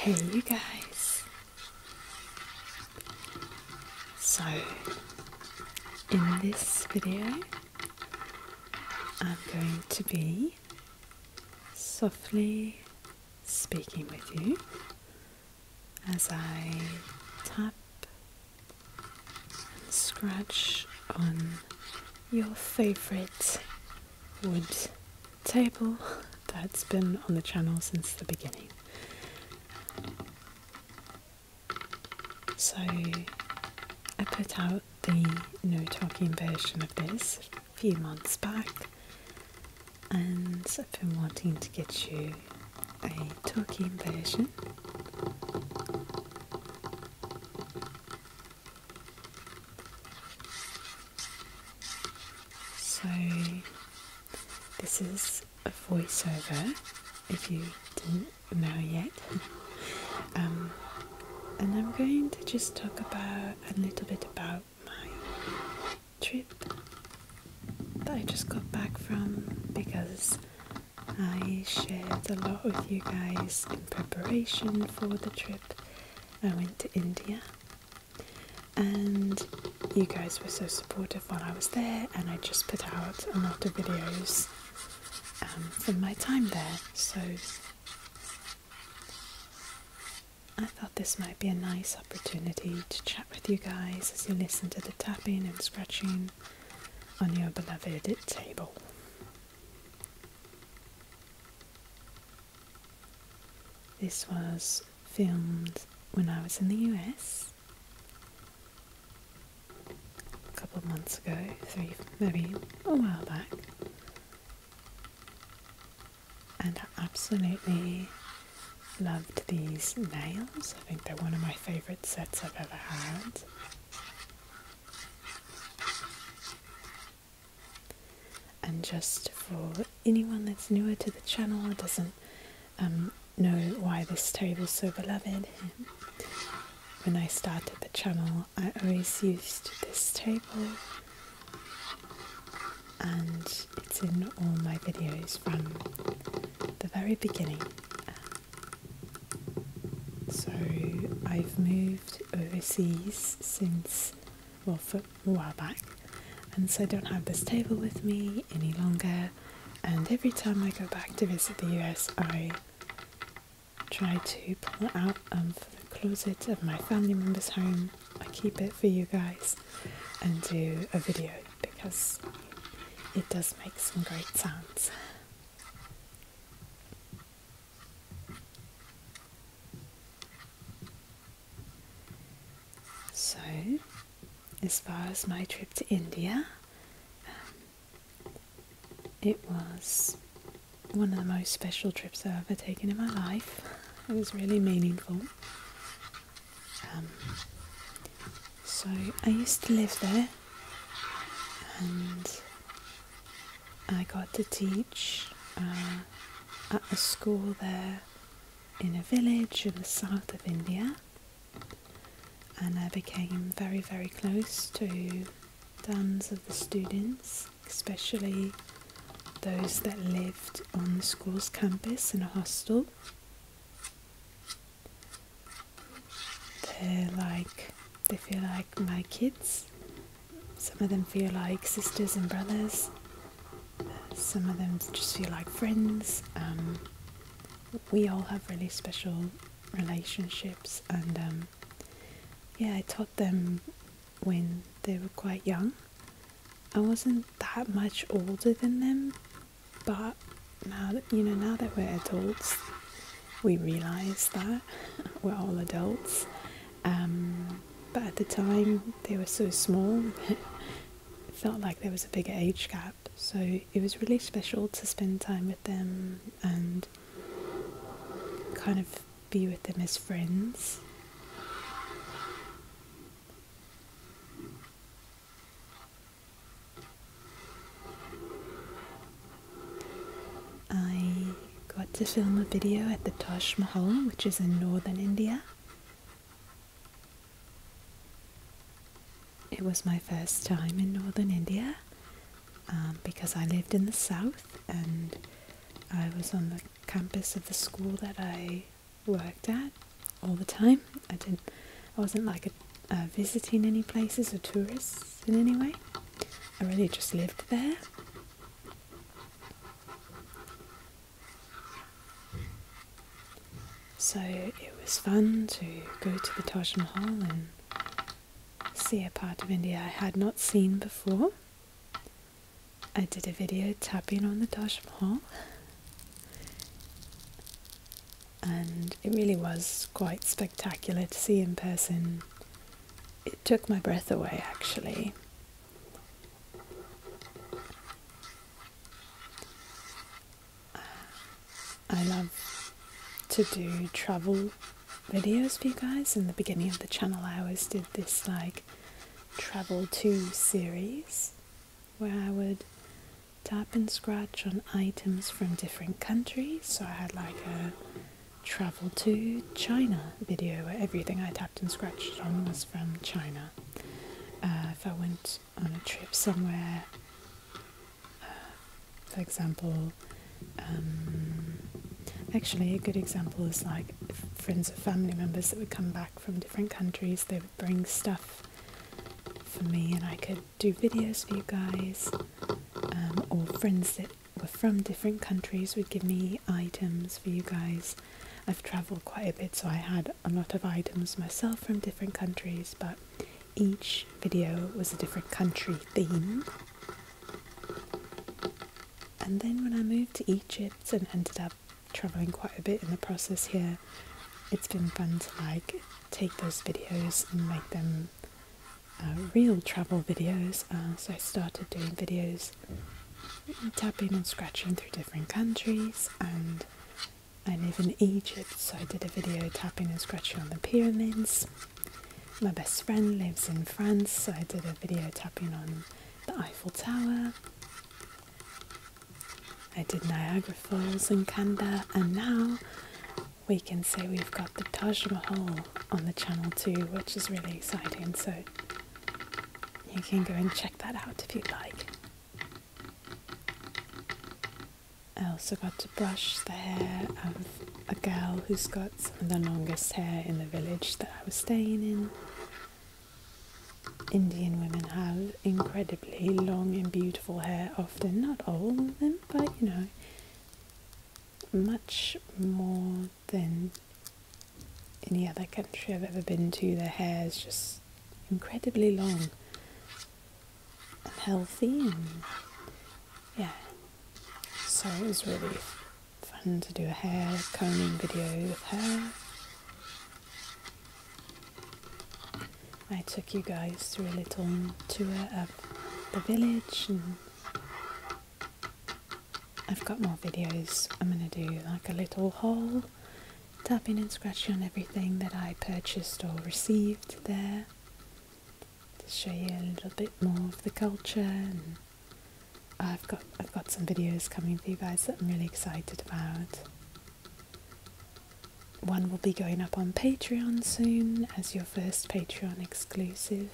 Hey, you guys. So, in this video, I'm going to be softly speaking with you as I tap and scratch on your favorite wood table that's been on the channel since the beginning. So I put out the no talking version of this a few months back, and I've been wanting to get you a talking version. So, this is a voiceover if you didn't know yet. Um, and I'm going to just talk about a little bit about my trip that I just got back from because I shared a lot with you guys in preparation for the trip I went to India, and you guys were so supportive while I was there, and I just put out a lot of videos um, from my time there. So I thought this might be a nice opportunity to chat with you guys as you listen to the tapping and scratching on your beloved table. This was filmed when I was in the US a couple of months ago, maybe a while back. And I absolutely loved these nails. I think they're one of my favourite sets I've ever had. And just for anyone that's newer to the channel doesn't um, know why this table's so beloved, when I started the channel, I always used this table, and it's in all my videos from the very beginning. So I've moved overseas since well, for a while back, and so I don't have this table with me any longer. And every time I go back to visit the US, I try to pull it out from the closet of my family member's home. I keep it for you guys and do a video because it does make some great sounds. So, as far as my trip to India, um, it was one of the most special trips I've ever taken in my life. It was really meaningful. Um, so I used to live there, and I got to teach uh, at a school there in a village in the south of India, and I became very, very close to dozens of the students, especially those that lived on the school's campus in a hostel. They're like, they feel like my kids some of them feel like sisters and brothers. Some of them just feel like friends. Um, we all have really special relationships, and um, yeah, I taught them when they were quite young. I wasn't that much older than them, but now that you know, now that we're adults, we realize that we're all adults, um, but at the time, they were so small, it felt like there was a bigger age gap. So it was really special to spend time with them and kind of be with them as friends. I got to film a video at the Taj Mahal, which is in northern India. It was my first time in northern India um, because I lived in the south and I was on the campus of the school that I worked at all the time. I didn't, I wasn't like visiting any places or tourists in any way. I really just lived there. So it was fun to go to the Taj Mahal and see a part of India I had not seen before. I did a video tapping on the Taj Mahal and it really was quite spectacular to see in person took my breath away actually. I love to do travel videos for you guys. In the beginning of the channel, I always did this like travel to series where I would tap and scratch on items from different countries. So I had like a travel to China video where everything I tapped and scratched on was from China. Uh, if I went on a trip somewhere, uh, for example, um, actually a good example is like friends or family members that would come back from different countries, they would bring stuff for me and I could do videos for you guys, um, or friends that were from different countries would give me items for you guys I've traveled quite a bit, so I had a lot of items myself from different countries, but each video was a different country theme. And then when I moved to Egypt and ended up traveling quite a bit in the process here, it's been fun to like take those videos and make them uh, real travel videos. Uh, so I started doing videos tapping and scratching through different countries and I live in Egypt so I did a video tapping and scratching on the pyramids. My best friend lives in France so I did a video tapping on the Eiffel Tower. I did Niagara Falls in Canada and now we can say we've got the Taj Mahal on the channel too which is really exciting so you can go and check that out if you'd like. I also got to brush the hair of a girl who's got some of the longest hair in the village that I was staying in. Indian women have incredibly long and beautiful hair, often, not all of them, but you know, much more than any other country I've ever been to. Their hair is just incredibly long and healthy, and yeah. So it was really fun to do a hair combing video with her. I took you guys through a little tour of the village I've got more videos. I'm going to do like a little haul, tapping and scratching on everything that I purchased or received there to show you a little bit more of the culture. I've got I've got some videos coming for you guys that I'm really excited about. One will be going up on Patreon soon as your first Patreon exclusive.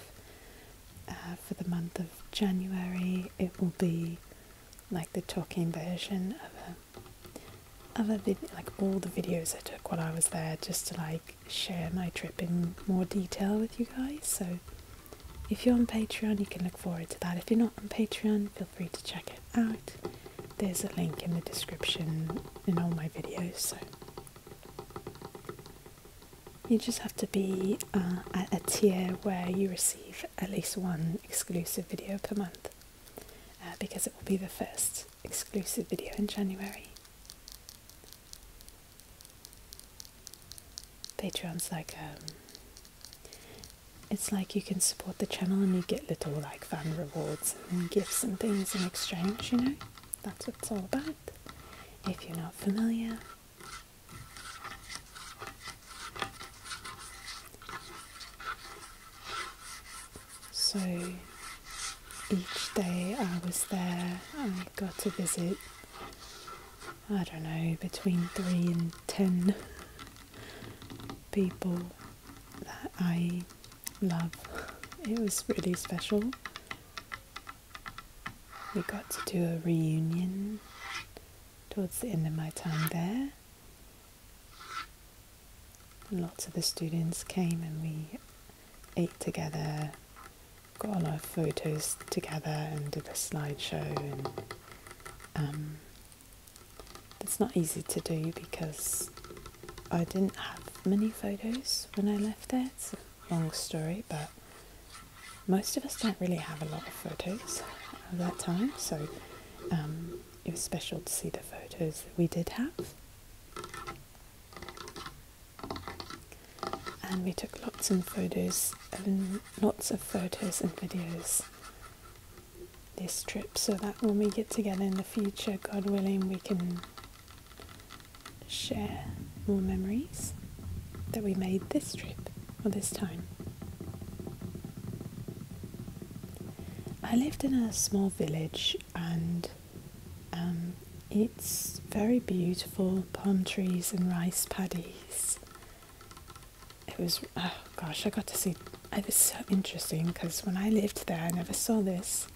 Uh, for the month of January, it will be like the talking version of a of a video, like all the videos I took while I was there, just to like share my trip in more detail with you guys. So if you're on Patreon, you can look forward to that. If you're not on Patreon, feel free to check it out. There's a link in the description in all my videos. So you just have to be uh, at a tier where you receive at least one exclusive video per month uh, because it will be the first exclusive video in January. Patreon's like um, it's like you can support the channel and you get little like fan rewards and gifts and things in exchange, you know? That's what it's all about. If you're not familiar, so each day I was there, I got to visit, I don't know, between three and ten people that I love. It was really special. We got to do a reunion towards the end of my time there. lots of the students came and we ate together, got a lot of photos together, and did a slideshow. And um, it's not easy to do because I didn't have many photos when I left there. It's a long story, but most of us don't really have a lot of photos of that time, so um, it was special to see the photos that we did have. And we took lots and photos, and lots of photos and videos this trip, so that when we get together in the future, God willing, we can share more memories that we made this trip for this time. I lived in a small village and um, it's very beautiful palm trees and rice paddies. It was, oh gosh, I got to see, it was so interesting because when I lived there, I never saw this.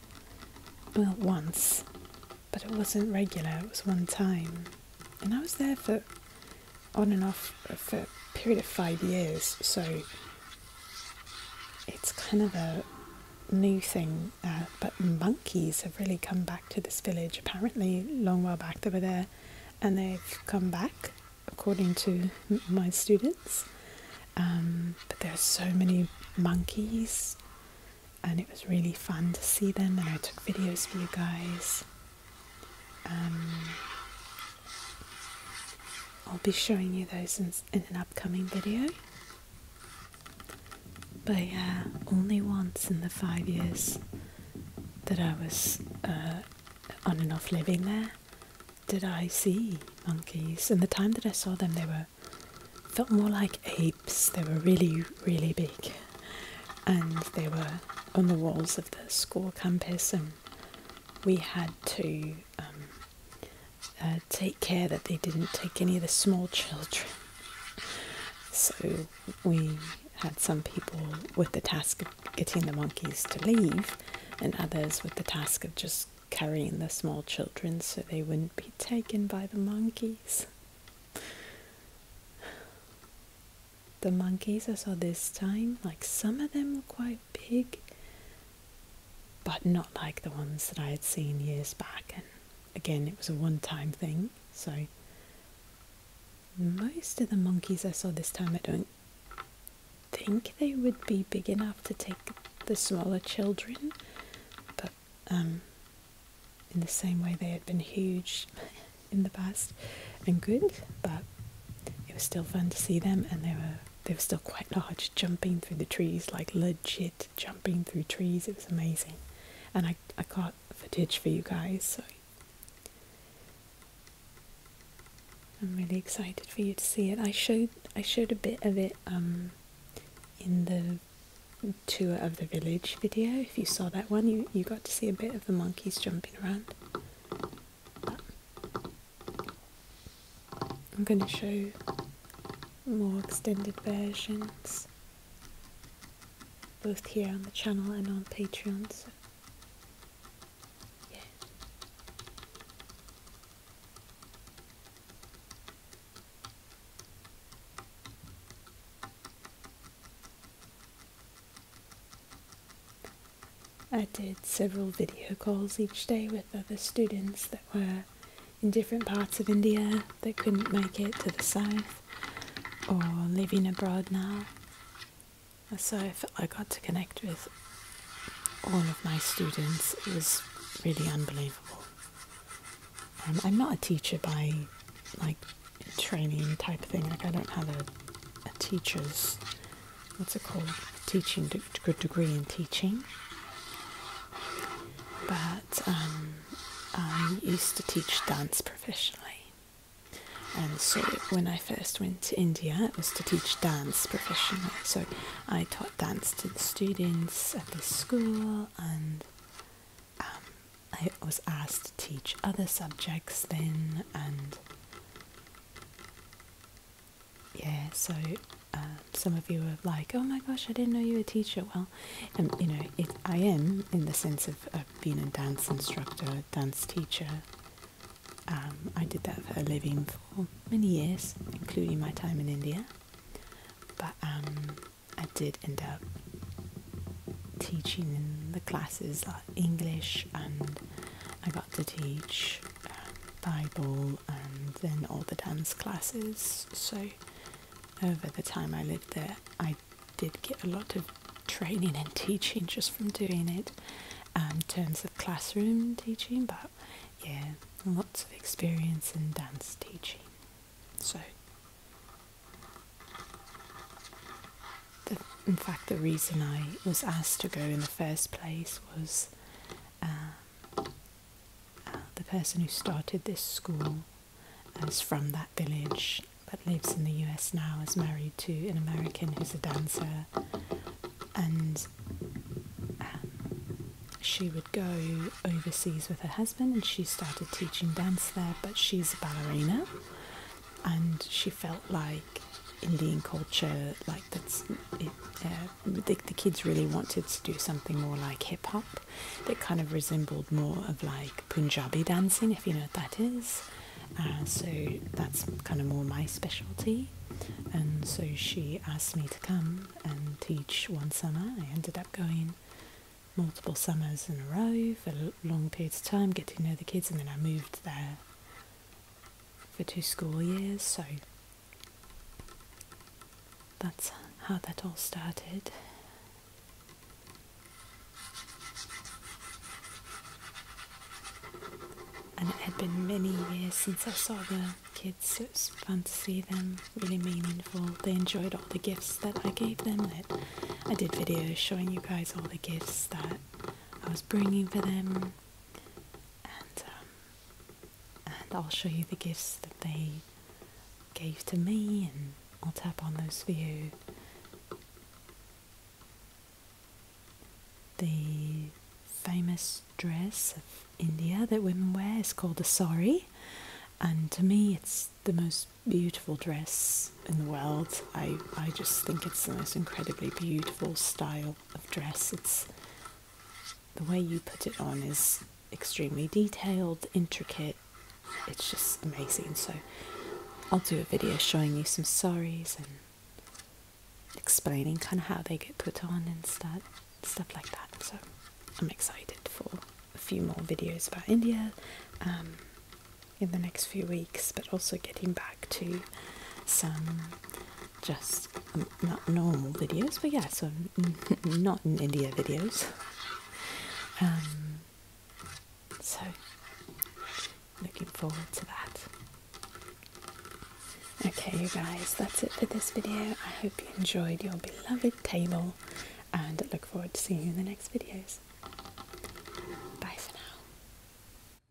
Well, once, but it wasn't regular, it was one time and I was there for on and off for a period of five years, so it's kind of a new thing. Uh, but monkeys have really come back to this village. Apparently, long while back they were there, and they've come back, according to my students. Um, but there are so many monkeys, and it was really fun to see them. And I took videos for you guys. Um, I'll be showing you those in, an upcoming video. But yeah, only once in the five years that I was uh, on and off living there did I see monkeys. And the time that I saw them, they were felt more like apes. They were really, really big, and they were on the walls the school campus, and we had to um, uh, take care that they didn't take any of the small children. So we had some people with the task of getting the monkeys to leave, and others with the task of just carrying the small children so they wouldn't be taken by the monkeys the monkeys I saw this time, like some of them were quite big, but not like the ones that I had seen years back. And again, it was a one time thing, so most of the monkeys I saw this time, I don't think they would be big enough to take the smaller children, but um, in the same way they had been huge in the past and good, but it was still fun to see them, and they were they were still quite large, jumping through the trees like legit jumping through trees. It was amazing, and I I got footage for you guys, so I'm really excited for you to see it. I showed I showed a bit of it um, in the tour of the village video. If you saw that one, you, you got to see a bit of the monkeys jumping around. I'm going to show more extended versions both here on the channel and on Patreon. So yeah. I did several video calls each day with other students that were in different parts of India that couldn't make it to the south or living abroad now. So I I got to connect with all of my students. It was really unbelievable. Um, I'm not a teacher by like training type thing. Like I don't have a, a teacher's what's it called? Teaching good degree in teaching. But um, I used to teach dance professionally, and so when I first went to India, it was to teach dance professionally. So I taught dance to the students at the school, and um, I was asked to teach other subjects then, and yeah, so uh, some of you are like, oh my gosh, I didn't know you were a teacher. Well, um, you know, I am in the sense of being a dance instructor, dance teacher. Um, I did that for a living for many years, including my time in India. But um, I did end up teaching in the classes English, and I got to teach uh, Bible and then all the dance classes. So, over the time I lived there, I did get a lot of training and teaching just from doing it um, in terms of classroom teaching, but yeah, lots of experience in dance teaching. So, in fact, the reason I was asked to go in the first place was uh, uh, the person who started this school is from that village but lives in the US now, is married to an American who's a dancer, and um, she would go overseas with her husband and she started teaching dance there, but she's a ballerina and she felt like Indian culture, like that's uh, the, the kids really wanted to do something more like hip hop that kind of resembled more of like Punjabi dancing, if you know what that is. Uh, so that's kind of more my specialty. And so she asked me to come and teach one summer. I ended up going multiple summers in a row for long periods of time, get to know the kids, and then I moved there for two school years, so that's how that all started. And it had been many years since I saw the kids, it was fun to see them, really meaningful. They enjoyed all the gifts that I gave them. That I did videos showing you guys all the gifts that I was bringing for them, and um, and I'll show you the gifts that they gave to me, and I'll tap on those for you. The famous dress of India that women wear is called a sari, and to me, it's the most beautiful dress in the world. I I just think it's the most incredibly beautiful style of dress. It's the way you put it on is extremely detailed, intricate. It's just amazing. So I'll do a video showing you some saris and explaining kind of how they get put on and stuff, stuff like that. So I'm excited for a few more videos about India um, in the next few weeks, but also getting back to some just not normal videos, but yeah, so not in India videos. Um, so looking forward to that. Okay, you guys, that's it for this video. I hope you enjoyed your beloved table and look forward to seeing you in the next videos. Bye for now.